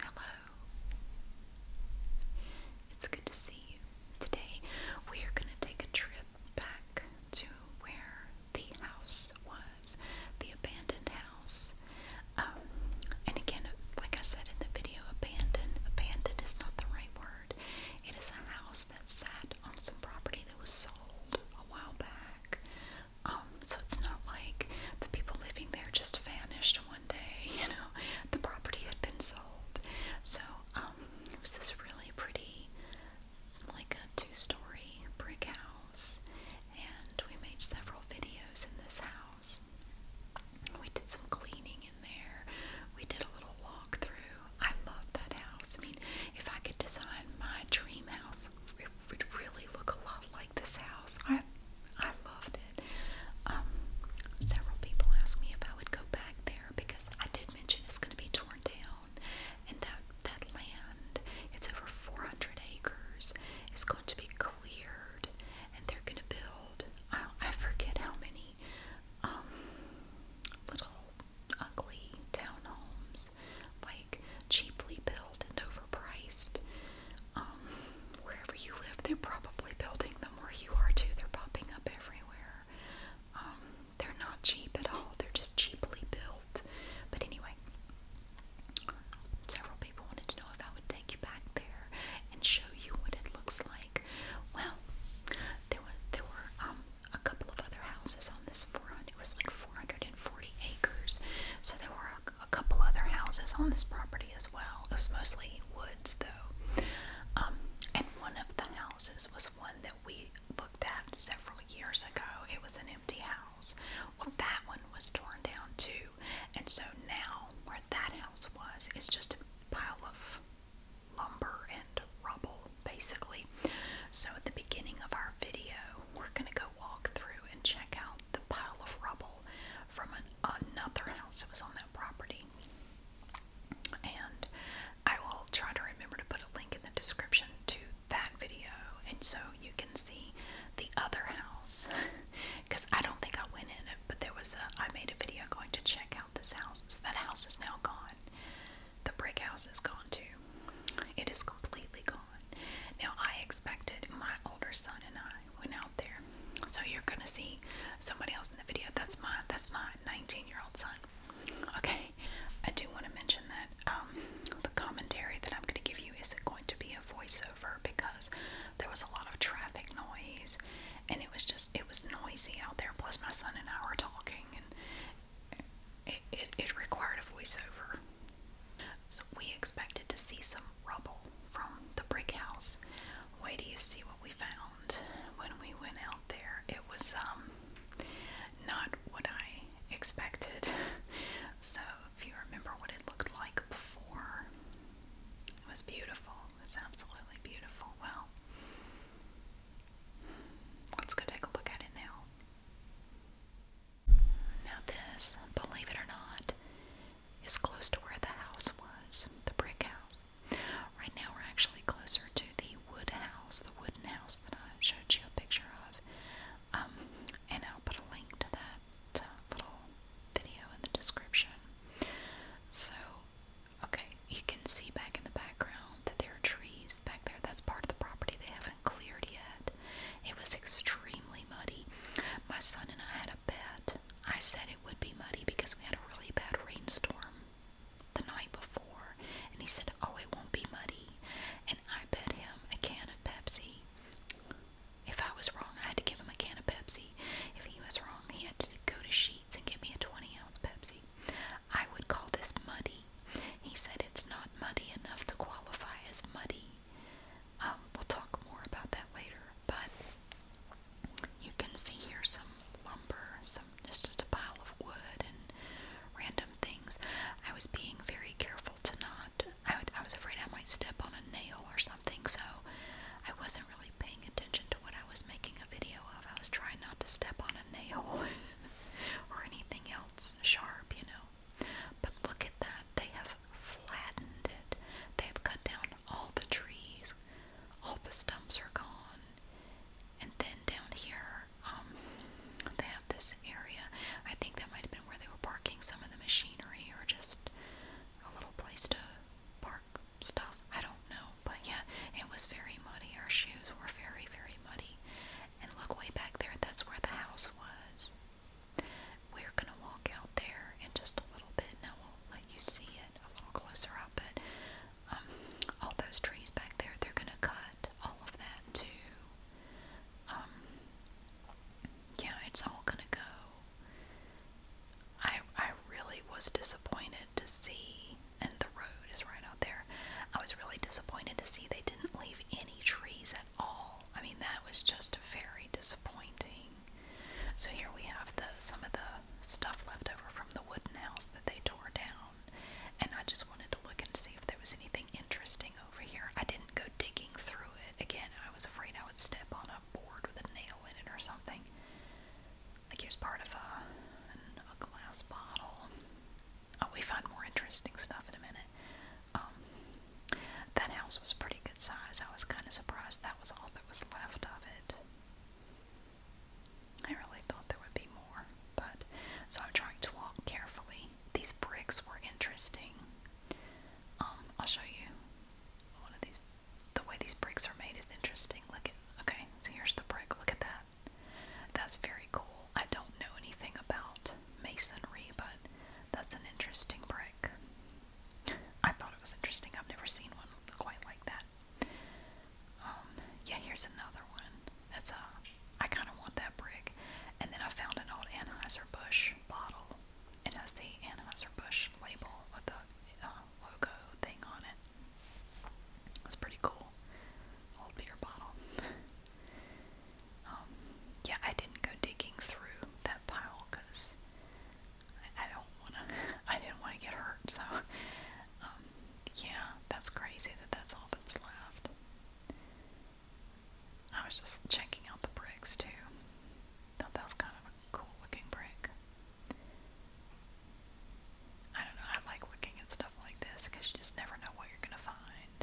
Hello. It's good to see you. Today we are going to take a trip back to where the house was, the abandoned house. Um, and again, like I said in the video, abandoned, abandoned is not the right word. It is a house that sat on some property that was sold a while back. Um, so it's not like the people living there just vanished one day, you know, the property had been sold. So, um, it was this really pretty, like a two story brick house, and we made several videos in this house. We did some cleaning in there, we did a little walkthrough. I love that house. I mean, if I could design my dream house, it would really look a lot like this house. I I loved it. Um, several people asked me if I would go back there because I did mention it's going to be torn down, and that that land it's over 400 acres. It's going to be cleared, and they're going to build. I, forget how many um, little ugly townhomes, like cheaply built and overpriced um, wherever you live, they're probably building them where you are too. They're popping up everywhere. Um, they're not cheap at all. They're just cheaply built. But anyway, several people wanted to know if I would take you back there and show you what it looks like. Well, there were there were um, a couple of other houses on this front. It was like 440 acres, so there were were a, a couple other houses on this property as well. It was mostly woods though. Um, and one of the houses was one that we looked at several years ago. It was an empty house. Well, that one was torn down too. And so now, where that house was, is just a pile of lumber and rubble, basically. So, at the beginning of our video, we're going to go walk through and check out the pile of rubble from another house that was on that property. And I will try to remember to put a link in the description to that video, and so you can see the other house. Because I don't think I went in it, but there was a. I made a video going to check out this house. So that house is now gone. The brick house is gone too. It is completely gone. Now I expected my older son and I went out there. So you're gonna see somebody else in the video. That's my that's my 19 year old son. Okay, I do want to mention that um, the commentary that I'm gonna give you isn't going to be a voiceover because there was a lot of traffic noise and it was just it was noisy out there. Plus my son and I were talking and it it, it required a voiceover. So we expected to see some rubble from the brick house. Wait till you see what we found when we went out there. It was um not what I expected. So if you remember what it looked like before, it was beautiful. It was absolutely beautiful. Well, let's go take a look at it now. Now, this, believe it or not, is close to where the house was, the brick house. Right now, we're actually closer to the wood house, the wooden house that I showed you a picture of. Um, and I'll put a link to that uh, little video in the description. So, okay, you can see back in the background that there are trees back there. That's part of the property they haven't cleared yet. It was extremely muddy. My son and I had a bet. I said it would be muddy because we had a really bad rainstorm the night before. And he said, Oh, it won't be muddy. And I bet him a can of Pepsi. If I was wrong, I had to give him a can of Pepsi. If he was wrong, he had to go to Sheets and give me a 20 ounce Pepsi. I would call this muddy. He said it's not muddy enough to qualify as muddy. Um, we'll talk more about that later, but you can see here some lumber, some just, just a pile of wood and random things. I was being very careful to not. I, would, I was afraid I might step on a nail or something, so I wasn't really paying attention to what I was making a video of. I was trying not to step on a nail or anything else sharp, you know. But look at that. They have flattened it. They've cut down all the trees. All the stumps are gone. And then down here, um, they have this area. I think that might have been where they were parking some of the machinery or just a little place to park stuff. I don't know. But yeah, it was very muddy. Our shoes were very, very muddy. And look way back there, that's where the house was. We're gonna walk out there in just a little bit, and I will let you see it a little closer up. But um, all those trees back there, they're gonna cut all of that too. Um, yeah, it's all gonna go. I I really was disappointed to see, and the road is right out there. I was really disappointed to see they didn't leave any trees at all. I mean, that was just very disappointing. So here we have the some of the stuff left over from the wooden house that they tore down. And I just wanted to look and see if there was anything interesting over here. I didn't go digging through it. Again, I was afraid I would step on a board with a nail in it or something. Like here's part of a, an, a glass bottle. Oh, we find more interesting stuff in a minute. Um, that house was pretty good size. I was kind of surprised that was all that was left of it. I really thought there would be more, but so I'm trying to walk carefully. These bricks were interesting. Um, I'll show you one of these. The way these bricks are made is interesting. Look at okay, so here's the brick. Look at that. That's very cool. I don't know anything about masonry, but that's an interesting brick. I thought it was interesting. I've never seen one quite like that. Um, yeah, here's another one. That's a, uh, I kind of want that brick. And then I found an old Anheuser-Busch bottle. It has the Anheuser-Busch label with the uh, logo thing on it. That's pretty cool. Old beer bottle. Um, yeah, I didn't go digging through that pile because I, don't wanna. I didn't want to get hurt, so um, yeah, that's crazy that that's all that's left. I was just checking out the bricks too. Thought that was kind of a cool looking brick. I don't know. I like looking at stuff like this because you just never know what you're gonna find.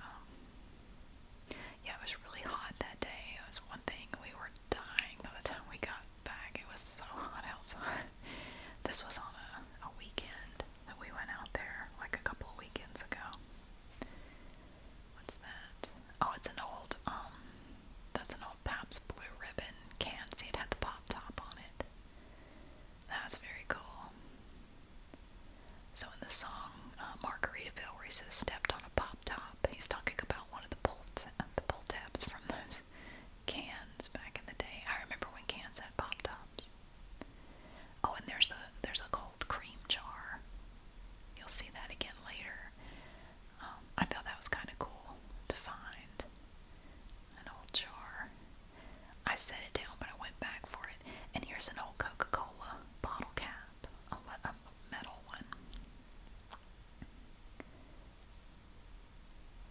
Um, yeah, it was really hot that day. It was one thing we were dying by the time we got back. It was so hot outside. This was on a, a weekend that we went out there like a couple of weekends ago. What's that? Oh, it's an old um, that's an old Pabst Blue Ribbon can. See, it had the pop top on it. That's very cool. So in the song uh, Bill," where he says "stepped on a pop top," he's talking about one of the pull uh, the pull tabs from those cans back in the day. I remember when cans had pop tops. Oh, and there's a there's a cold cream jar. You'll see that again later. Um, I thought that was kind of cool to find an old jar. I set it down, but I went back for it. And here's an old Coca Cola bottle cap, a, metal one.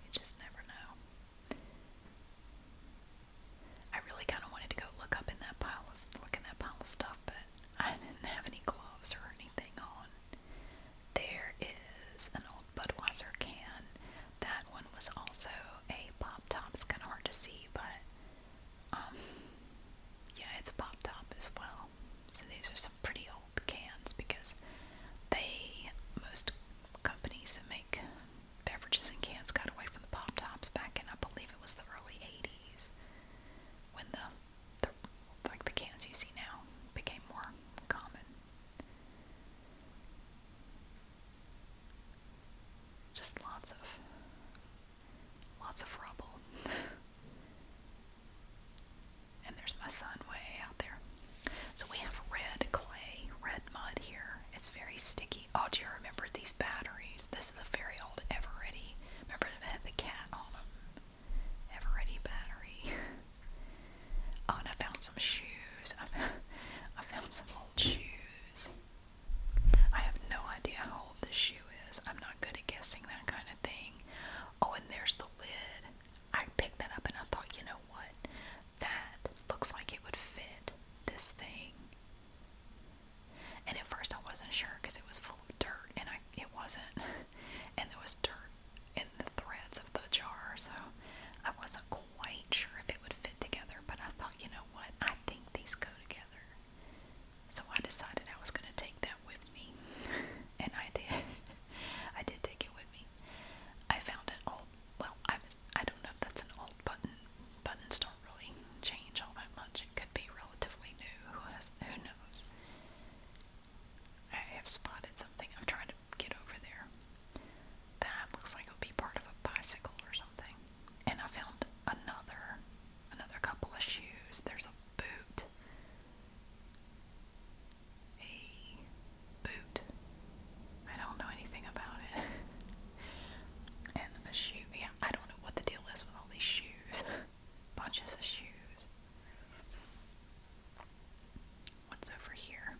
You just never know. I really kind of wanted to go look up in that pile of stuff, but I didn't have any gloves or anything on. There is an old Budweiser can. That one was also a pop top. It's kind of hard to see, but um, yeah, it's a pop top as well. So these are some pretty old cans because they, most companies that make beverages in cans got away from the pop tops back in, I believe it was the early 80s when the, the like the cans you see now became more common. Just lots of Lots of rubble. and there's my son way out there. So we have red clay, red mud here. It's very sticky. Oh, do you remember these batteries? This is a very old Eveready. Remember they had the cat on them? Eveready battery. oh, and I found some shoes. I found some old shoes. I have no idea how old this shoe is. I'm not good at guessing that kind of thing. Oh, and there's the lid. I picked that up and I thought, you know what? That looks like it would fit this thing. And at first I wasn't sure because it was full of dirt and I it wasn't. And there was dirt in the threads of the jar, so I wasn't quite sure if it would fit together, but I thought, you know what? I think these go together. So I decided I was going to take that with me, and I did. I did take it with me. I found an old, well, I, I don't know if that's an old button. Buttons don't really change all that much. It could be relatively new. Who, has, who knows? I have spotted something. I'm trying to get over there. That looks like it would be part of a bicycle or something and I found another another couple of shoes. There's a boot. A boot. I don't know anything about it. and a shoe. Yeah, I don't know what the deal is with all these shoes. Bunches of shoes. What's over here?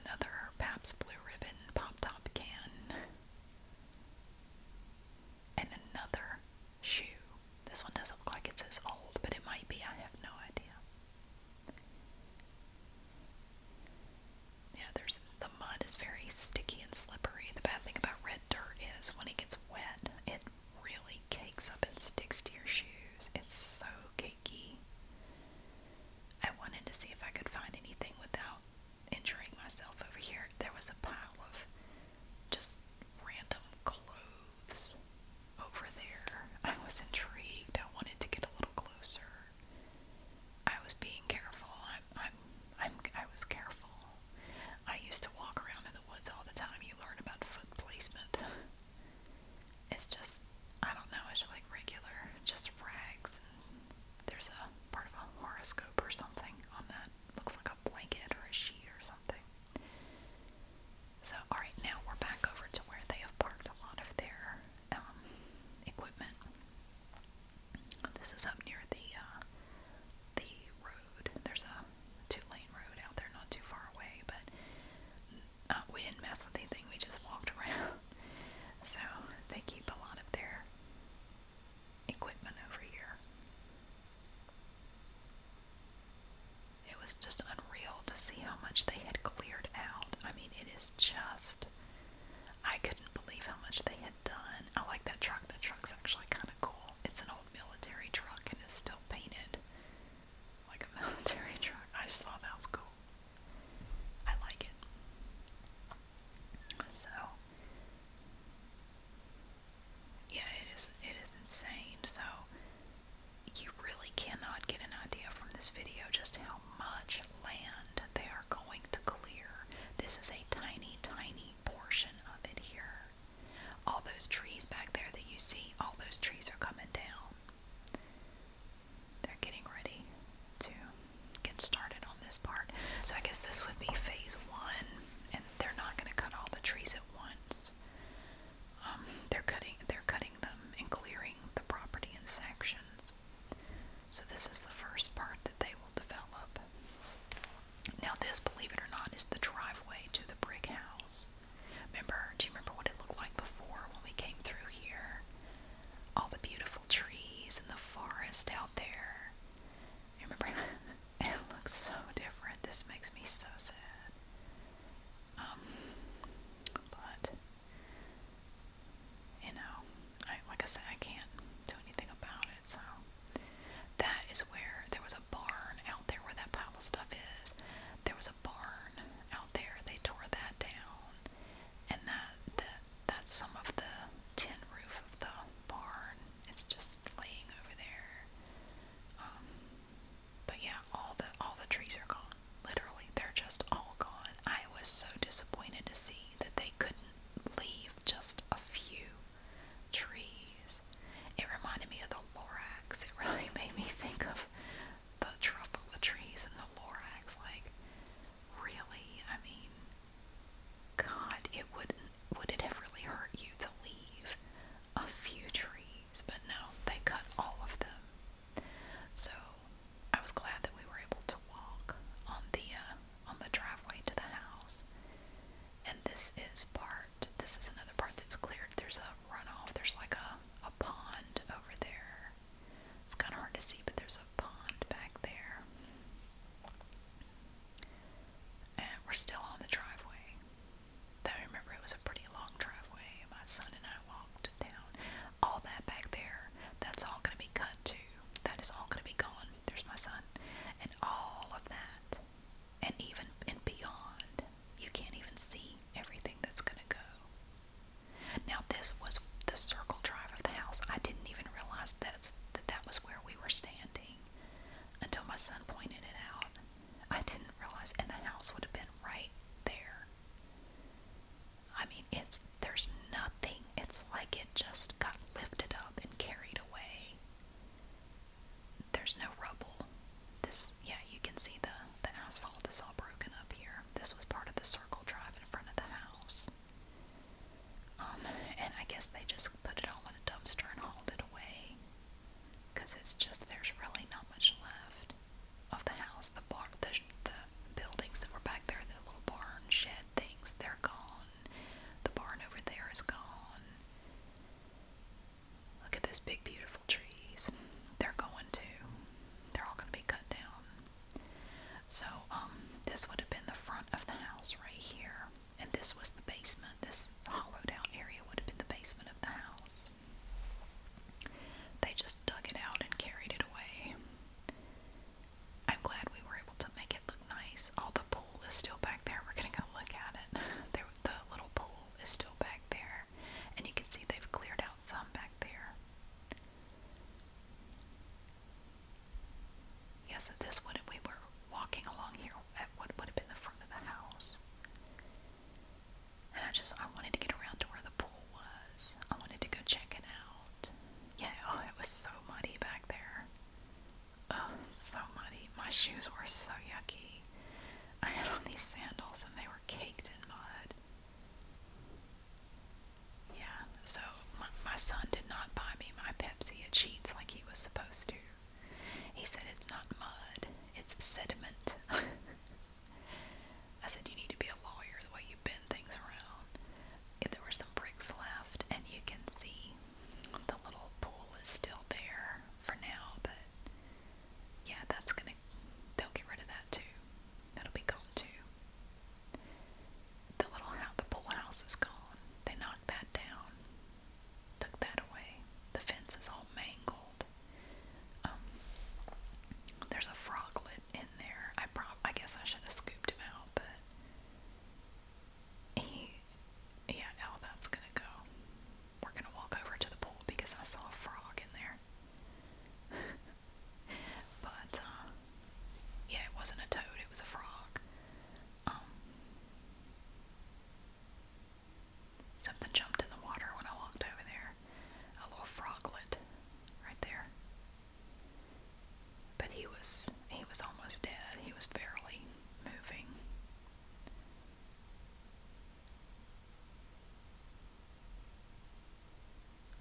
Another Pabst Blue Ribbon pop top can. And another shoe. This one doesn't look like it's as old, but it might be. I have no idea. Yeah, there's the mud is very sticky and slippery. The bad thing about red dirt is when it gets wet, it really cakes up and sticks to your shoes. It's so cakey. I wanted to see if I could find anything without injuring myself over here. There was a pile of just random clothes over there. I was intrigued. I wanted to get a little closer. I was being careful. I'm, I'm, I'm, I was careful. I used to walk around in the woods all the time. You learn about foot placement. It's just, I don't know, it's like regular, just rags there's a part of a horoscope or something on that. Looks like a blanket or a sheet or something. So, alright, now we're back over to where they have parked a lot of their um, equipment. This is up near the uh, the road. There's a two-lane road out there, not too far away, but uh, we didn't mess with anything. We just walked around so they keep a lot of their equipment over here. It was just unreal to see how much they had cleared out. I mean, it is just. I couldn't believe how much they had done. I like that truck. That truck's actually kind of cool. It's an old military truck and it's still painted like a military truck. I just thought that was cool. I like it. So yeah, it is it is insane. So you really cannot get an idea from this video just how much land they are going to clear. This is a tiny, tiny portion of it here. All those trees back there that you see, all those trees are coming down. They're getting ready to get started on this part. So I guess this would be phase one, and they're not going to cut all the trees at once. Um, they're cutting, they're cutting them and clearing the property in sections. So this is the first part that they will develop. Now this, believe it or not, is the driveway to the brick house. Remember, do you remember what it looked like before when we came through here? All the beautiful trees and the forest, how there. You remember? it looks so different. This makes me so sad. Um, but you know, like I said, I can't do anything about it. So that is where there was a barn out there where that pile of stuff is. There was a barn out there. They tore that down and that that that's some of the tin roof of the barn. It's just laying over there. Um, but yeah, all the all the trees are gone. Literally, they're just all gone. I was so disappointed to see that they couldn't leave just a few trees. It reminded me of the Lorax. It really made me think of the truffle trees and the Lorax. Like, really? I mean, God, it wouldn't would it have really hurt you to leave a few trees, but no, they cut all of them. So I was glad that we were able to walk on the uh, on the driveway to the house. And this is part. This is another part that's cleared. There's a runoff. There's like a a pond over there it's kind of hard to see, but there's a pond back there. And we're still on the driveway. I remember it was a pretty long driveway. My son and I walked down. All that back there, that's all going to be cut too. That is all going to be gone. There's my son. And all of that, and even and beyond, you can't even see everything that's going to go. Now this was the circle drive of the house. I didn't even realize that that was where we were standing until my son pointed it out. I didn't realize, and the house would have been right there. I mean, it's there's nothing. It's like it just got lifted up and carried away. There's no rubble. This, yeah, you can see the the asphalt is all broken up here. This was part of the circle drive in front of the house. Um, and I guess they just put it all in a dumpster and hauled it away. Because it's just, there's really not much left of the house. The, bar, the, buildings that were back there, the little barn shed things, they're gone. The barn over there is gone. Look at those big, beautiful trees. They're going to. They're all going to be cut down. So, um, this would have been the front of the house right here, and this was the basement. This hollowed out area would have been the basement of the house. They just dug it out and carried it away. I'm glad we were able to make it look nice. All the pool is still back there. We're gonna go look at it. There, the little pool is still back there, and you can see they've cleared out some back there. Yes, at this one, we were walking along here at what would have been the front of the house. And I just, I wanted to get around to where the pool was. I wanted to go check it out. Yeah, oh, it was so muddy back there. Oh, so muddy. My shoes were so yucky. I had on these sandals and they were caked in mud. Yeah, so my, my son did not buy me my Pepsi at Sheets like he was supposed to. He said it's not mud, it's sediment. I said, You need to be a lawyer the way you bend things around. If there were some bricks left, and you can see the little pool is still there for now, but yeah, that's gonna, they'll get rid of that too. That'll be gone too. The little house, the pool house is gone. They knocked that down, took that away. The fence is all mangled. Um, there's a froglet in there. I prob I guess I should have scooped him out, but he, yeah, all gonna go. We're gonna walk over to the pool because I saw a frog in there. But uh, yeah, it wasn't a toad; it was a frog. Um, something jumped in the water when I walked over there. A little froglet, right there. But he was he was almost dead. He was barely moving.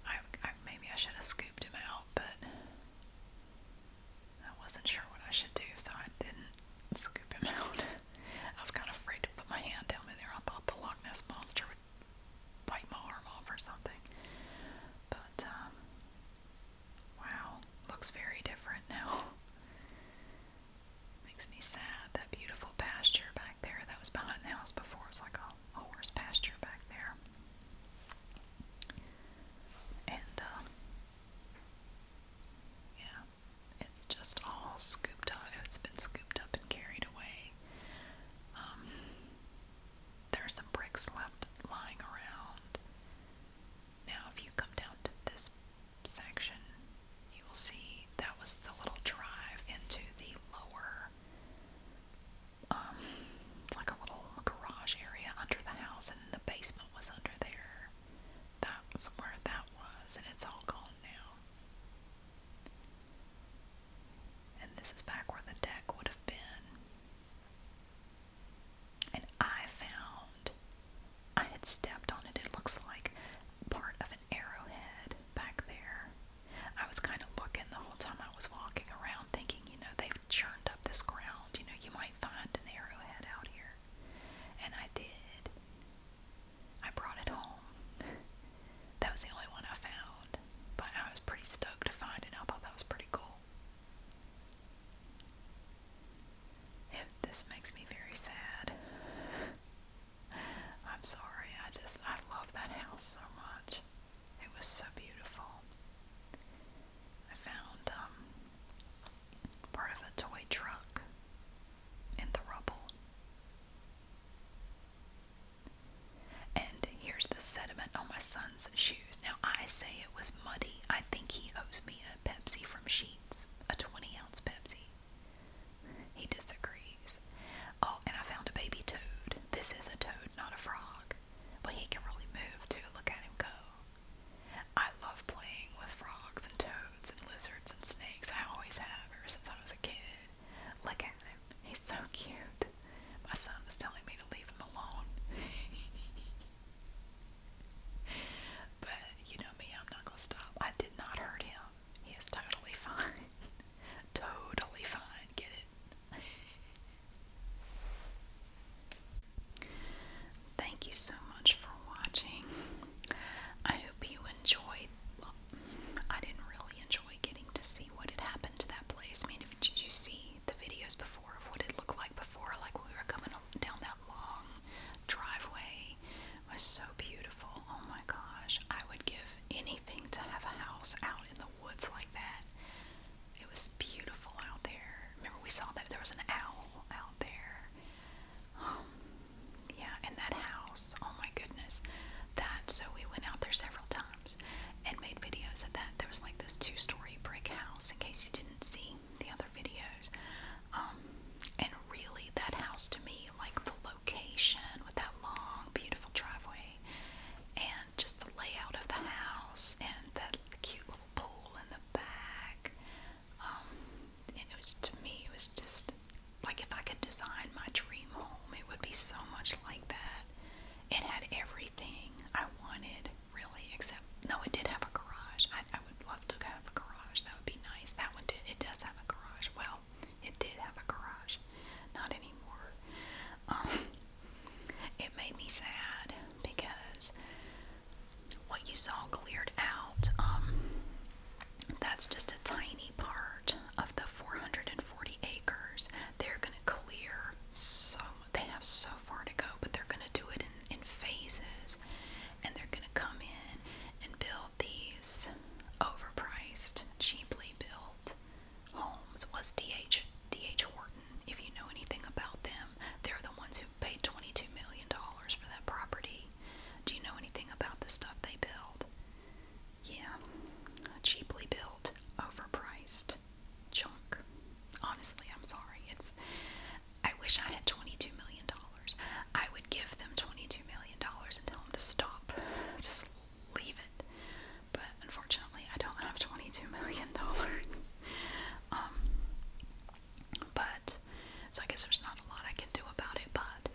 I, maybe I should have scooped him out, but I wasn't sure what I should do, so I didn't scoop him out. I was kind of afraid to put my hand down in there. I thought the Loch Ness monster would bite my arm off or something. But um, wow, looks very different now. Makes me sad. That beautiful pasture back there that was behind the house before was like a a horse pasture back there. And, uh, yeah, it's just all scooped up. It's been scooped up and carried away. Um, there are some bricks left lying around. Now, if you come down to this section, you will see that was the little drive into the lower um, like a little garage area under the house, and the basement was under there. That's where that was, and it's all gone now. And this is back where the deck would have been. And I found I had stepped on it, it looks like part of an arrowhead back there. I was kind of looking the whole time I was walking around, thinking, you know, they've churned up this ground. You know, you might find an arrowhead out here. And I did. I brought it home. that was the only one I found. But I was pretty stoked to find it. I thought that was pretty cool. It, this makes me very sad. I'm sorry. I just, I love that house so much. It was so beautiful. I found um, part of a toy truck in the rubble. And here's the sediment on my son's shoes. Now, I say it was muddy. I think he owes me a Pepsi from Sheets, a 20 ounce Pepsi. He disagrees. Oh, and I found a baby toad. This is a toad, not a frog. But he can really move too. Look at him go. I love playing with frogs and toads and lizards and snakes. I always have ever since I was a kid. Look at him. He's so cute. My son is telling me to leave him alone. but you know me, I'm not going to stop. I did not hurt him. He is totally fine. totally fine. Get it? Thank you so much for watching. I hope you enjoyed. I didn't really enjoy getting to see what had happened to that place. I did you see the videos before of what it looked like before? Like we were coming down that long driveway. was so beautiful. Oh my gosh. I would give anything to have a house out in the woods like that. It was beautiful out there. Remember, we saw that there was an owl out there. Um, yeah, and that house. Oh my goodness, that. So we went out there several times and made videos of that. There was like this two-story brick house. In case you didn't see the other videos, um, and really, that house to me, like the location with that long, beautiful driveway way, and just the layout of the house and that cute little pool in the back. Um, and it was to me, it was just like if I could design my dream home, it would be so much like that. It had everything I wanted, really, except no, it did have a garage. I, I would love to have a garage. That would be nice. That one did. It does have a garage. Well, it did have a garage, not anymore. Um, it made me sad because what you saw cleared out. Um, that's just a tiny part of the 440 acres. They're going to clear so they have so far to go, but they're going to do it in, in phases, and they're going to come in and build these overpriced, cheaply built Holmes was D.H. D.H. Horton. If you know anything about them, they're the ones who paid $22 million for that property. Do you know anything about the stuff they build? Yeah, cheaply built, overpriced, junk. Honestly, I'm sorry. It's. I wish I had $22 million. I would give them $22 million and tell them to stop. Just leave it. But unfortunately, I don't have $22 million. Um, but, so I guess there's not a lot I can do about it. But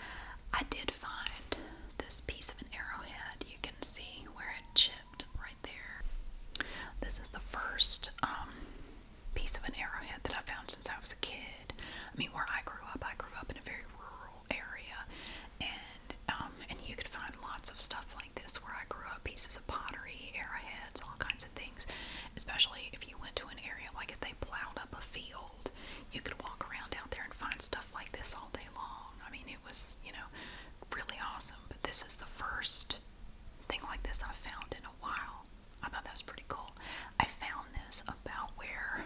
I did find this piece of an arrowhead. You can see where it chipped right there. This is the first um, piece of an arrowhead that I found since I was a kid. I mean, where I grew up, I grew up in a very rural rural area, and um, and you could find lots of stuff like this where I grew up, pieces of pottery, arrowheads, all kinds of things. Especially if you went to an area like if they plowed up a field, you could walk around out there and find stuff like this all day long. I mean, it was you know really awesome. But this is the first thing like this I found in a while. I thought that was pretty cool. I found this about where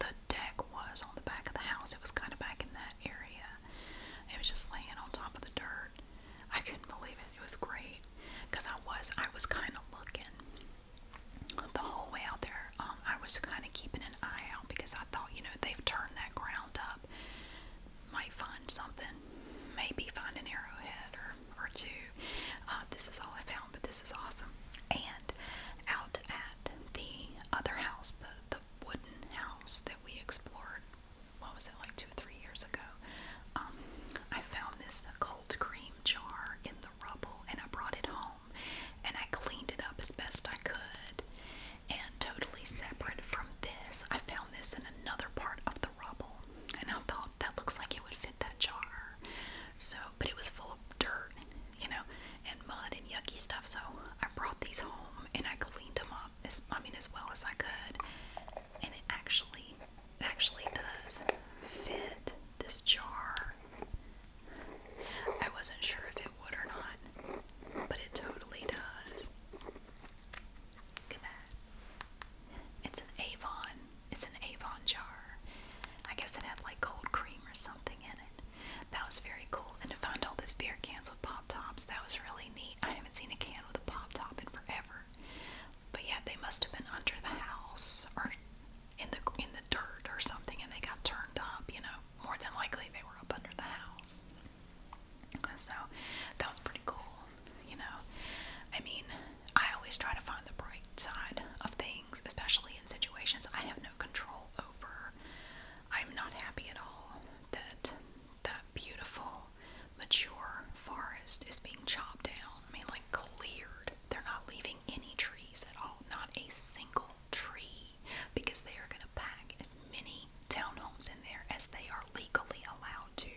the deck was on the back of the house. It was kind of back in that that area. It was just laying on top of the dirt. I couldn't believe it. It was great because I was I was kind of looking the whole way out there. Um, I was kind of keeping an eye out because I thought you know they've turned that ground up. Might find something, maybe find an arrowhead or or two. Uh, this is all I found, but this is awesome. And out at the other house, the the wooden house that we explored. What was it like two or three years ago? Um, I found this cold cream jar in the rubble, and I brought it home, and I cleaned it up as best I could. And totally separate from this, I found this in another part of the rubble, and I thought that looks like it would fit that jar. So, but it was full of dirt, you know, and mud and yucky stuff. So I brought these home and I cleaned them up as I mean as well as I could. And it actually actually does fit this jar. I wasn't sure if it would or not, but it totally does. Look at that. It's an Avon. It's an Avon jar. I guess it had like cold cream or something in it. That was very cool. And to find all those beer cans with pop tops, that was really neat. I haven't seen a can with a pop top in forever. But yeah, they must have been under the house or in the in the dirt or something, and they got turned up. You know, more than likely they were up under the house. So that was pretty cool. You know, I mean, I always try to find the bright side of things, especially in situations I have no control over. I'm not happy at all that that beautiful, mature forest is being chopped down. I mean, like cleared. They're not leaving any trees at all, not a single tree, because they are going to pack as many townhomes in there as they are legally allowed to.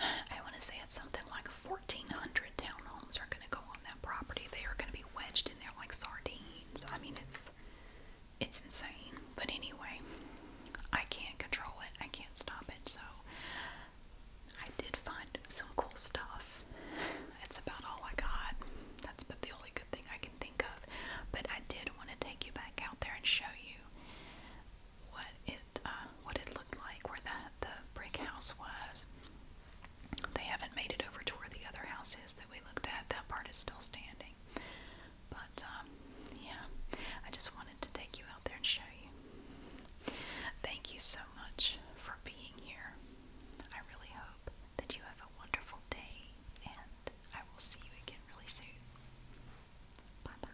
I want to say it's something like 1,400 townhomes are going to go on that property. They are going to be wedged in there like sardines. I mean, it's it's insane. But anyway, I can't control it. I can't stop it. So I did find some cool stuff. That's about all I got. That's but the only good thing I can think of. But I did want to take you back out there and show you what it uh, what it looked like where that the brick house was. They haven't made it over to where the other house is that we looked at. That part is still standing. But, um, yeah, I just wanted to take you out there and show you. Thank you so much for being here. I really hope that you have a wonderful day, and I will see you again really soon. Bye bye.